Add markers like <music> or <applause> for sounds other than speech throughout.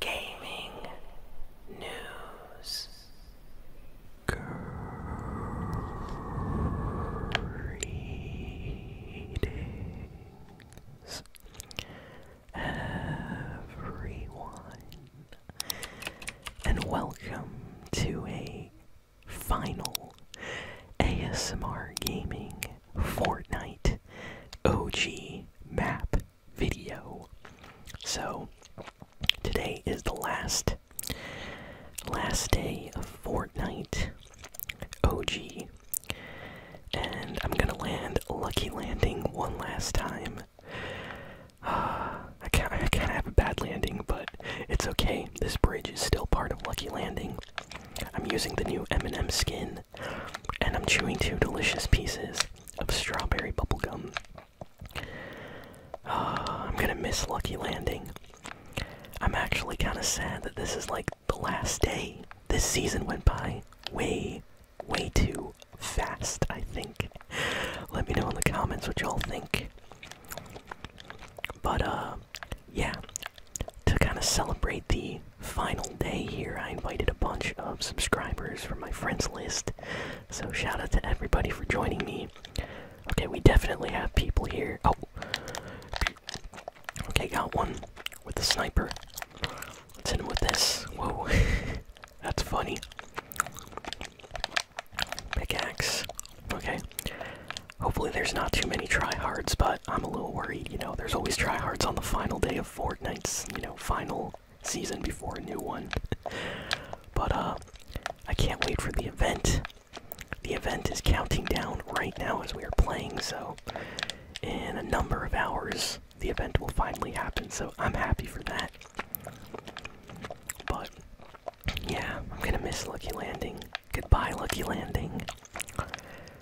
gaming news. Greetings, everyone, and welcome to a final ASMR Gaming Fortnite OG map video. So today is the last last day of Fortnite OG. And I'm gonna land Lucky Landing one last time. <sighs> I can't, I kinda have a bad landing, but it's okay. This bridge is still part of Lucky Landing. I'm using the new M&M skin, and I'm chewing two delicious pieces of strawberry bubblegum. Uh, I'm gonna miss Lucky Landing. I'm actually kind of sad that this is like the last day. This season went by way, way too fast, I think. Let me know in the comments what y'all think. But, uh, yeah, to kind of celebrate the final day here, I invited a bunch of subscribers from my friends list. So shout out to everybody for joining me. Okay, we definitely have people here. Oh, okay, got one with a sniper. Let's hit him with this. Whoa, <laughs> that's funny. Pickaxe. Okay. Hopefully, there's not too many tryhards, but I'm a little worried. You know, there's always tryhards on the final day of Fortnite's, you know final season before a new one. but uh, I can't wait for the event. The event is counting down right now as we are playing, so in a number of hours, the event will finally happen, so I'm happy for that. But yeah, I'm gonna miss Lucky Landing. Goodbye, Lucky Landing.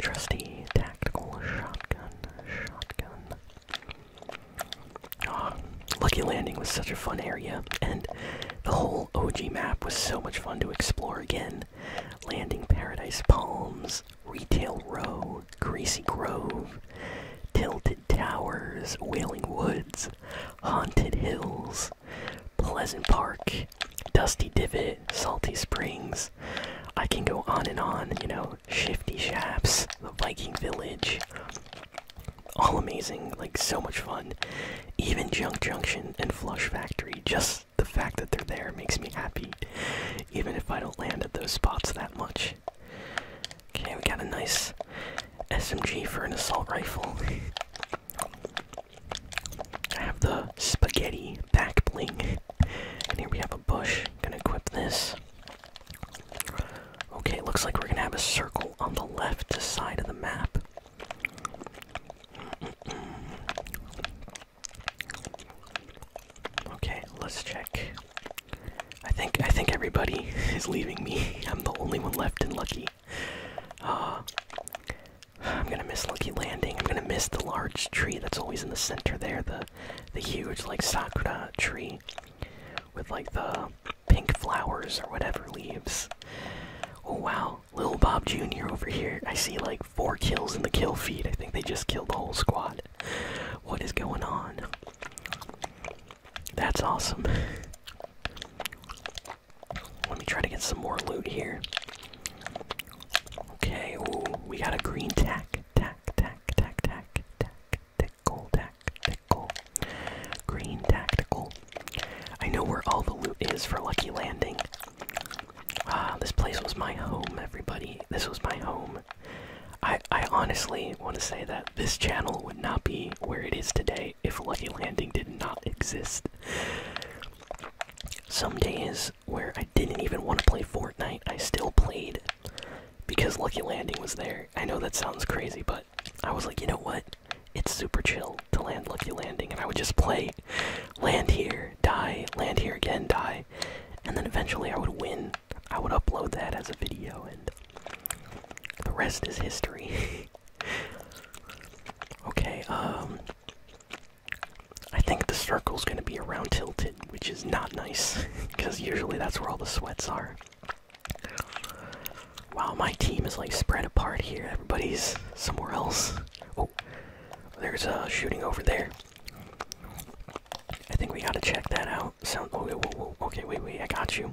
Trusty tactical shotgun. Shotgun. Ah, lucky Landing was such a fun area, and the whole OG map was so much fun to explore again. Landing Paradise Palms, Retail Row, Greasy Grove, Tilted Towers, Wailing Woods, Haunted Hills, Pleasant Park, Dusty Divot, Salty Springs. I can go on and on, you know, Shifty Shaps, the Viking Village. All amazing, like so much fun. Even Junk Junction and Flush Factory, just the fact that they're there makes me happy, even if I don't land at those spots that much. Okay, we got a nice SMG for an assault rifle. I have the spaghetti back bling. And here we have a bush. Gonna equip this. Okay, looks like we're gonna have a circle on the left side of the map. Okay, let's check. I think I think everybody <laughs> is leaving me. I'm the only one left and lucky. Uh, I'm gonna miss Lucky Landing. I'm gonna miss the large tree that's always in the center there, the the huge like sakura tree with like the pink flowers or whatever leaves. Oh wow, Lil Bob Jr. over here. I see like four kills in the kill feed. I think they just killed the whole squad. What is going on? That's awesome. Let me try to get some more loot here. Okay, we got a green tack. Tack, tack, tack, tack, tack, tickle, tack, Green tactical. I know where all the loot is for Lucky Landing. Ah, this place was my home, everybody. This was my home. I I honestly want to say that this channel would not be where it is today if Lucky Landing did not exist. Some days where I didn't even want to play Fortnite, I still played because Lucky Landing was there. I know that sounds crazy, but I was like, you know what? It's super chill to land Lucky Landing, and I would just play land here, die, land here again, die, and then eventually I would win. I would upload that as a video, and the rest is history. <laughs> okay, um. I think the circle's gonna be around tilted, which is not nice, because <laughs> usually that's where all the sweats are. Wow, my team is like spread apart here. Everybody's somewhere else. Oh, there's a shooting over there. I think we gotta check that out. Sound. Oh, Okay, wait, wait. I got you.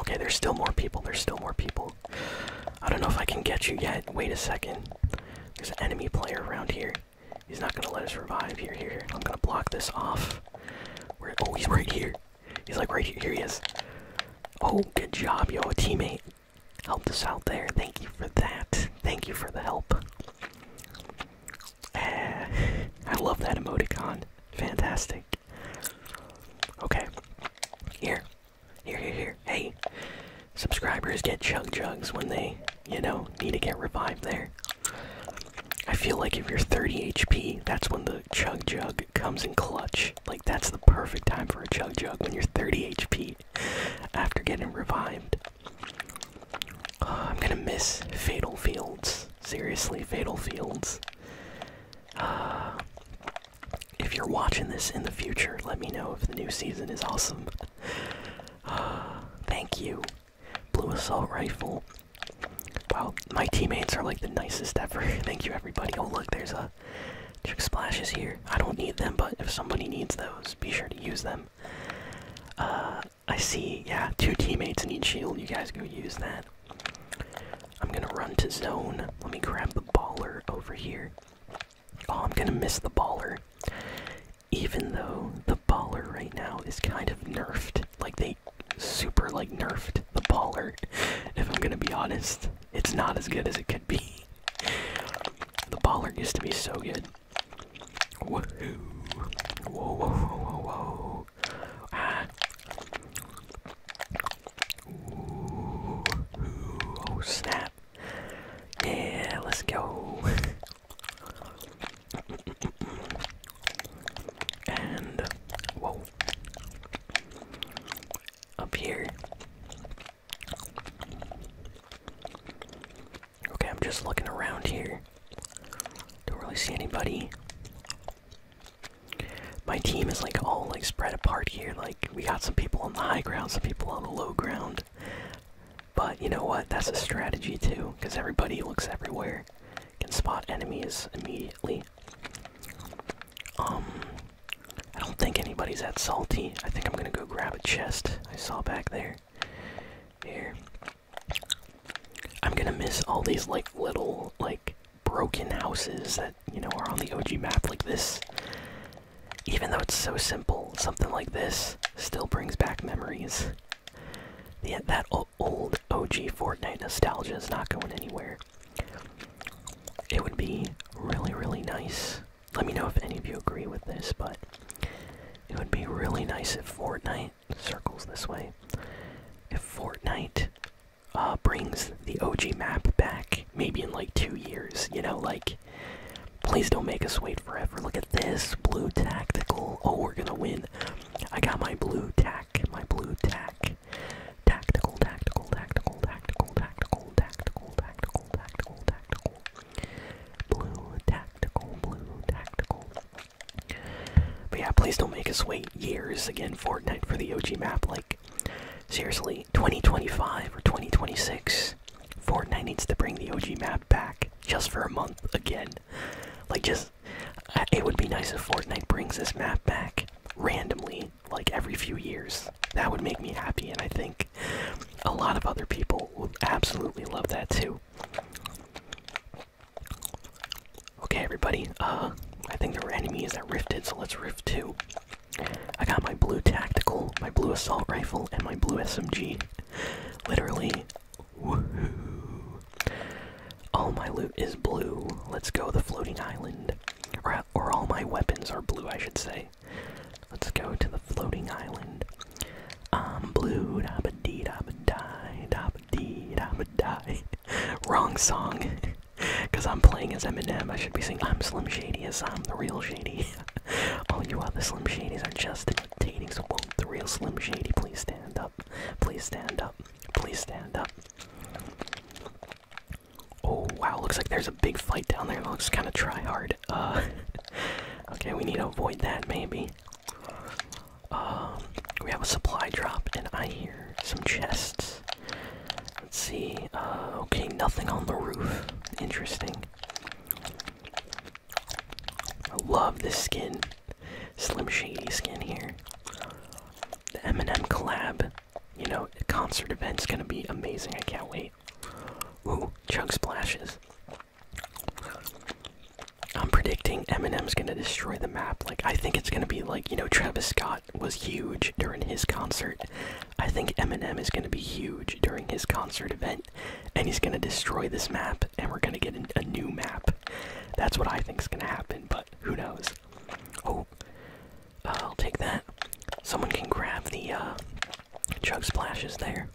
Okay, there's still more people. There's still more people. I don't know if I can get you yet. Wait a second. There's an enemy player around here. He's not gonna let us revive. Here, here, I'm gonna block this off. Oh, he's right here. He's like right here. Here he is. Oh, good job, yo. A teammate helped us out there. Thank you for that. Thank you for the help. Eh, I love that emoticon. Fantastic. Okay. Here. Here, here, here. Hey. Subscribers get chug jugs when they, you know, need to get revived there. I feel like if you're 30 HP, that's when the chug jug comes in clutch. Like, that's the perfect time for a chug jug when you're 30 HP after getting revived. <sighs> I'm gonna miss Fatal Fields. Seriously, Fatal Fields if you're watching this in the future, let me know if the new season is awesome. thank you, Blue Assault Rifle. Wow, my teammates are like the nicest ever. <laughs> thank you, everybody. Oh, look, there's a Trick Splashes here. I don't need them, but if somebody needs those, be sure to use them. Uh, I see, yeah, two teammates need shield. You guys go use that. I'm gonna run to zone. Let me grab the baller over here. Oh, I'm gonna miss the baller. Even though the baller right now is kind of nerfed. Like, they super, like, nerfed the baller. <laughs> If I'm gonna be honest, it's not as good as it could be. The baller used to be so good. Woohoo. Whoa, whoa, whoa, whoa, Oh snap. Yeah, let's go. and whoa. Up here. Okay, I'm just looking around here. Don't really see anybody. My team is like all like spread apart here. Like we got some people on the high ground, some people on the low ground. But you know what? That's a strategy too, because everybody looks everywhere, can spot enemies immediately. Um, I don't think anybody's at salty. I think I'm gonna go grab a chest I saw back there. Here, I'm gonna miss all these like little like broken houses that you know are on the OG map like this. Even though it's so simple, something like this still brings back memories. Yeah, that old OG Fortnite nostalgia is not going anywhere. It would be really, really nice. Let me know if any of you agree with this, but it would be really nice if Fortnite circles this way. If Fortnite uh, brings the OG map back, maybe in like two years, you know, like, please don't make us wait forever. Look at this blue tactical. Oh, we're gonna win. I got my blue tack, my blue tack. Tactical, tactical, tactical, tactical, tactical, tactical, tactical, tactical, tactical. Blue tactical, blue tactical. But yeah, please don't make us wait years again, Fortnite, for the OG map. Like, seriously, 2025 or 2026, Fortnite needs to bring the OG map back just for a month again. Like, just. Uh, it would be nice if Fortnite brings this map back randomly, like every few years. That would make me happy, and I think a lot of other people would absolutely love that too. Okay, everybody. Uh, I think there were enemies that rifted, so let's rift too. I got my blue tactical, my blue assault rifle, and my blue SMG. Literally, woohoo! All my loot is blue. Let's go the floating island, or or all my weapons are blue, I should say. Let's go to the floating island. I'm blue, da ba dee da ba die, da dee da die. <laughs> Wrong song. <laughs> Cause I'm playing as Eminem. I should be singing I'm Slim Shady as I'm the real Shady. <laughs> All you other Slim Shadys are just imitating. So won't the real Slim Shady please stand up? Please stand up. Please stand up. Oh wow, looks like there's a big fight down there. That looks kinda try hard. Uh, okay, we need to avoid that maybe. Um, we have a supply drop, and I hear some chests. Let's see. Uh, okay, nothing on the roof. Interesting. I love this skin. Slim Shady skin here. The Eminem collab. You know, concert event is gonna be amazing. I can't wait. Ooh, chug splashes. I'm predicting Eminem's gonna destroy the map. Like, I think it's gonna be like, you know, Travis Scott was huge during his concert. I think Eminem is gonna be huge during his concert event, and he's gonna destroy this map, and we're gonna get a new map. That's what I think's gonna happen, but who knows? Oh, uh, I'll take that. Someone can grab the uh, chug splashes there.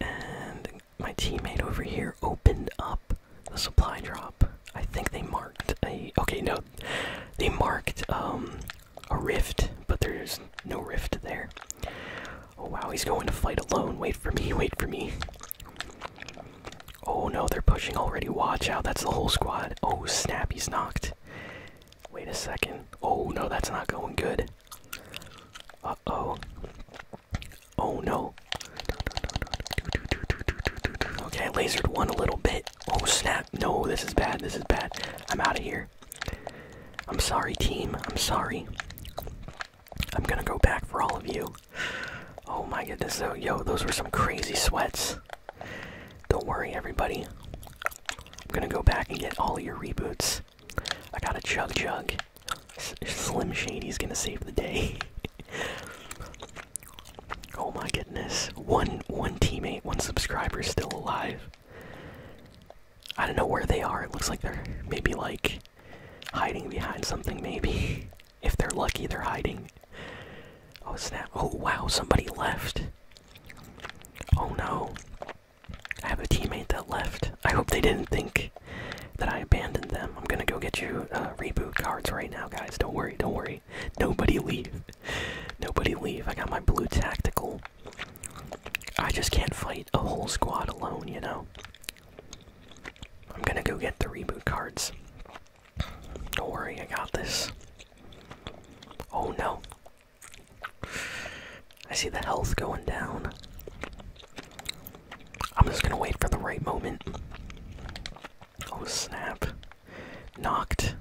And my teammate over here opened up a supply drop. I think they marked a okay, no, they marked um a rift, but there's no rift there. Oh wow, he's going to fight alone. Wait for me, wait for me. Oh no, they're pushing already. Watch out, that's the whole squad. Oh snap, he's knocked. Wait a second. Oh no, that's not going good. Uh oh. Oh no. Okay, lasered one a little bit. Oh snap. No, this is bad. This is bad. I'm out of here. I'm sorry, team. I'm sorry. I'm gonna go back for all of you. Oh my goodness. Oh, yo, those were some crazy sweats. Don't worry, everybody. I'm gonna go back and get all your reboots. I got a chug chug. S Slim Shady's gonna save the day. <laughs> oh my goodness. One one teammate, one subscriber still alive. I don't know where they are. It looks like they're maybe like hiding behind something, maybe. <laughs> If they're lucky, they're hiding. Oh snap. Oh wow, somebody left. Oh no. I have a teammate that left. I hope they didn't think that I abandoned them. I'm gonna go get you uh, reboot cards right now, guys. Don't worry, don't worry. Nobody leave. Nobody leave. I got my blue tactical. I just can't fight a whole squad alone, you know? I'm gonna go get the reboot cards. Don't worry, I got this. Oh no. I see the health going down. I'm just gonna wait for the right moment. Oh snap. Knocked.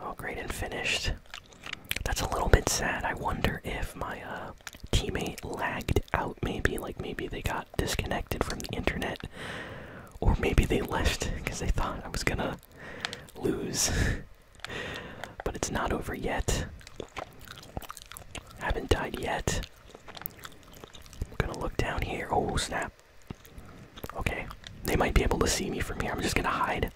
Oh great and finished. That's a little bit sad. I wonder if my uh, teammate lagged out maybe. Like maybe they got disconnected from the internet. Or maybe they left because they thought I was gonna lose. But it's not over yet. I haven't died yet. I'm gonna look down here. Oh, snap. Okay. They might be able to see me from here. I'm just gonna hide.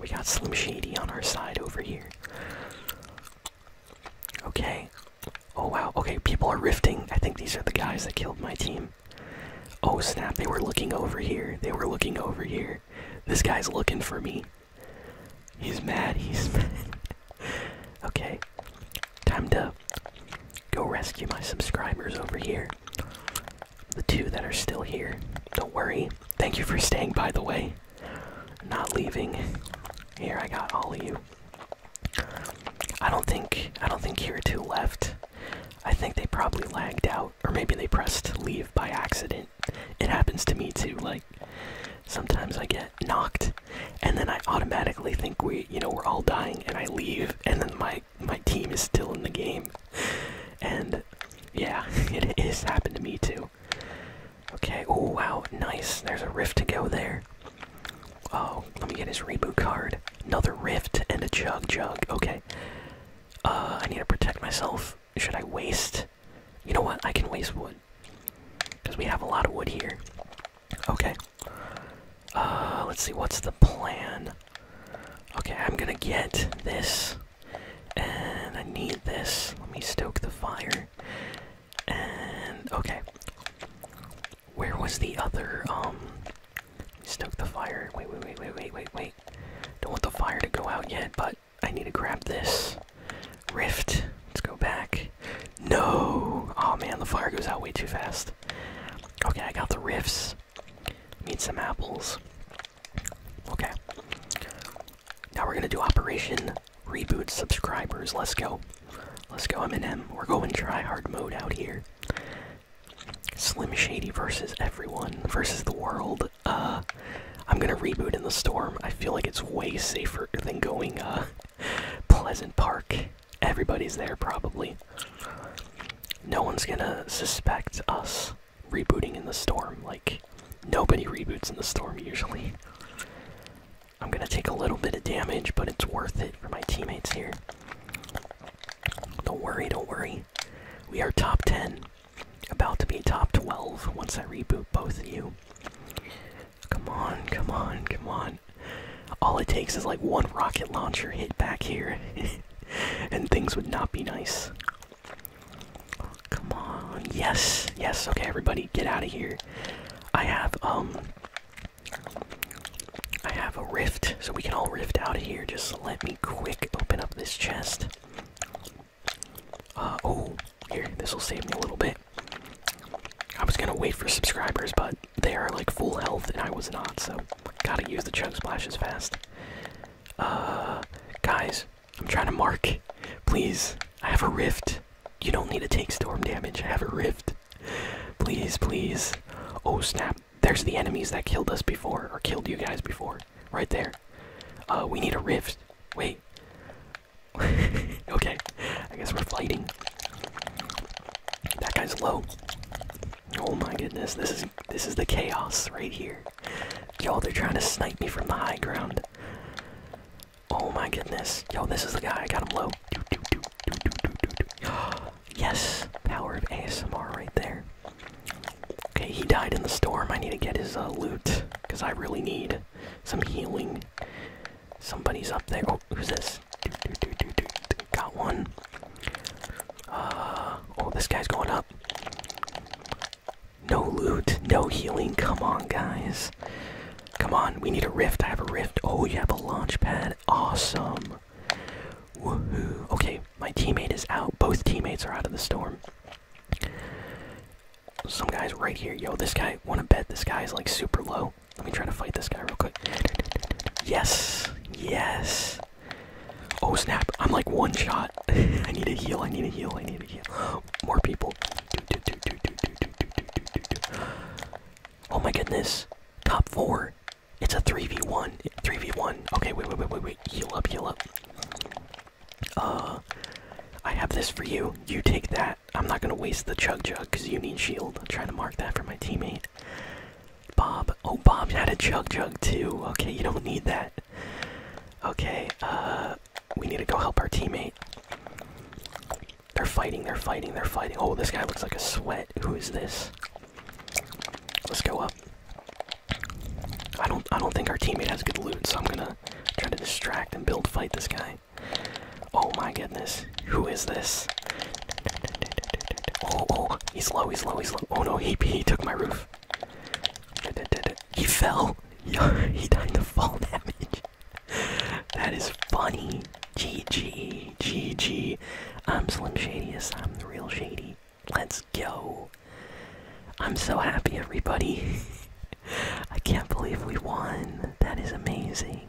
We got Slim Shady on our side over here. Okay. Oh wow, okay, people are rifting. I think these are the guys that killed my team. Oh snap, they were looking over here. They were looking over here. This guy's looking for me. He's mad. He's <laughs> mad. okay. Time to go rescue my subscribers over here. The two that are still here. Don't worry. Thank you for staying, by the way. Not leaving. Here, I got all of you. I don't think I don't think here are two left. I think they probably lagged out or maybe they pressed leave by accident. It happens to me too. Like sometimes I get knocked, and then I automatically think we, you know, we're all dying, and I leave, and then my my team is still in the game. And yeah, <laughs> it has happened to me too. Okay. Oh wow, nice. There's a rift to go there. Oh, let me get his reboot card. Another rift and a chug chug. Okay. Uh, I need to protect myself. Should I waste? You know what? I can waste wood. Because we have a lot of wood here. Okay. Uh, let's see, what's the plan? Okay, I'm gonna get this. And I need this. Let me stoke the fire. And, okay. Where was the other, um, Stoke the fire. Wait, wait, wait, wait, wait, wait, wait. Don't want the fire to go out yet, but I need to grab this. Rift. Let's go back. No! Oh man, the fire goes out way too fast. Okay, I got the rifts. Need some apples. Okay. Now we're gonna do Operation Reboot Subscribers. Let's go. Let's go, M&M. We're going try hard mode out here. Slim Shady versus everyone versus the world. Uh, I'm gonna reboot in the storm. I feel like it's way safer than going uh, Pleasant Park. Everybody's there probably. No one's gonna suspect us rebooting in the storm. Like nobody reboots in the storm usually. I'm gonna take a little bit of damage, but it's worth it for my teammates here. Don't worry, don't worry. We are top 10. About to be top 12 once I reboot both of you. Come on, come on, come on. All it takes is like one rocket launcher hit back here, <laughs> and things would not be nice. come on. Yes, yes. Okay, everybody, get out of here. I have, um. I have a rift, so we can all rift out of here. Just let me quick open up this chest. Uh, oh, here, this will save me a little bit. I was gonna wait for subscribers, but they are like full health and I was not, so gotta use the chug splashes fast. Uh, guys, I'm trying to mark. Please, I have a rift. You don't need to take storm damage. I have a rift. Please, please. Oh snap there's the enemies that killed us before, or killed you guys before, right there. Uh, we need a rift. Wait. <laughs> okay, I guess we're fighting. That guy's low. Oh my goodness, this is this is the chaos right here. Yo, they're trying to snipe me from the high ground. Oh my goodness. Yo, this is the guy. I got him low. Do, do, do, do, do, do, do. <gasps> Oh, Yes, power of ASMR right there. Okay, he died in the storm. I need to get his uh, loot because I really need some healing. Somebody's up there. Oh, who's this? Got one. Uh, oh, this guy's going up. No loot, no healing. Come on, guys. Come on, we need a rift. I have a rift. Oh, you have a launch pad. Awesome. Okay, my teammate is out. Both teammates are out of the storm. Some guy's right here. Yo, this guy, wanna bet this guy is like super low. Let me try to fight this guy real quick. Yes. Yes. Oh snap, I'm like one shot. I need a heal, I need a heal, I need a heal. More people. Oh my goodness. Top four. It's a 3v1. 3v1. Okay, wait, wait, wait, wait, wait. Heal up, heal up. Uh, I have this for you. You take that. I'm not gonna waste the chug chug because you need shield. I'm trying to mark that for my teammate. Bob. Oh, Bob had a chug chug too. Okay, you don't need that. Okay, uh, we need to go help our teammate. They're fighting, they're fighting, they're fighting. Oh, this guy looks like a sweat. Who is this? Let's go up. I don't I don't think our teammate has good loot, so I'm gonna try to distract and build fight this guy. Oh my goodness. Who is this? Oh, oh, he's low, he's low, he's low. Oh no, he he took my roof. He fell. <laughs> he died to fall damage. That is funny. GG, GG. I'm Slim Shadius. I'm the real Shady. Let's go. I'm so happy, everybody. <laughs> I can't believe we won. That is amazing.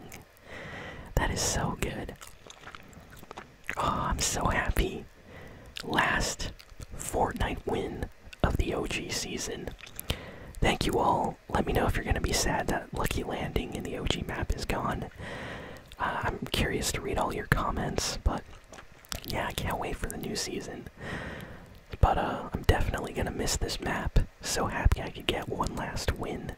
That is so good. Oh, I'm so happy. Last Fortnite win of the OG season. Thank you all. Let me know if you're going to be sad that Lucky Landing in the OG map is gone. Uh, I'm curious to read all your comments, but yeah, I can't wait for the new season. But uh, I'm definitely gonna miss this map. So happy I could get one last win.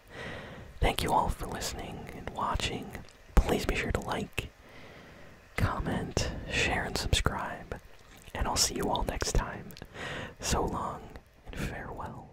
Thank you all for listening and watching. Please be sure to like, comment, share, and subscribe. And I'll see you all next time. So long and farewell.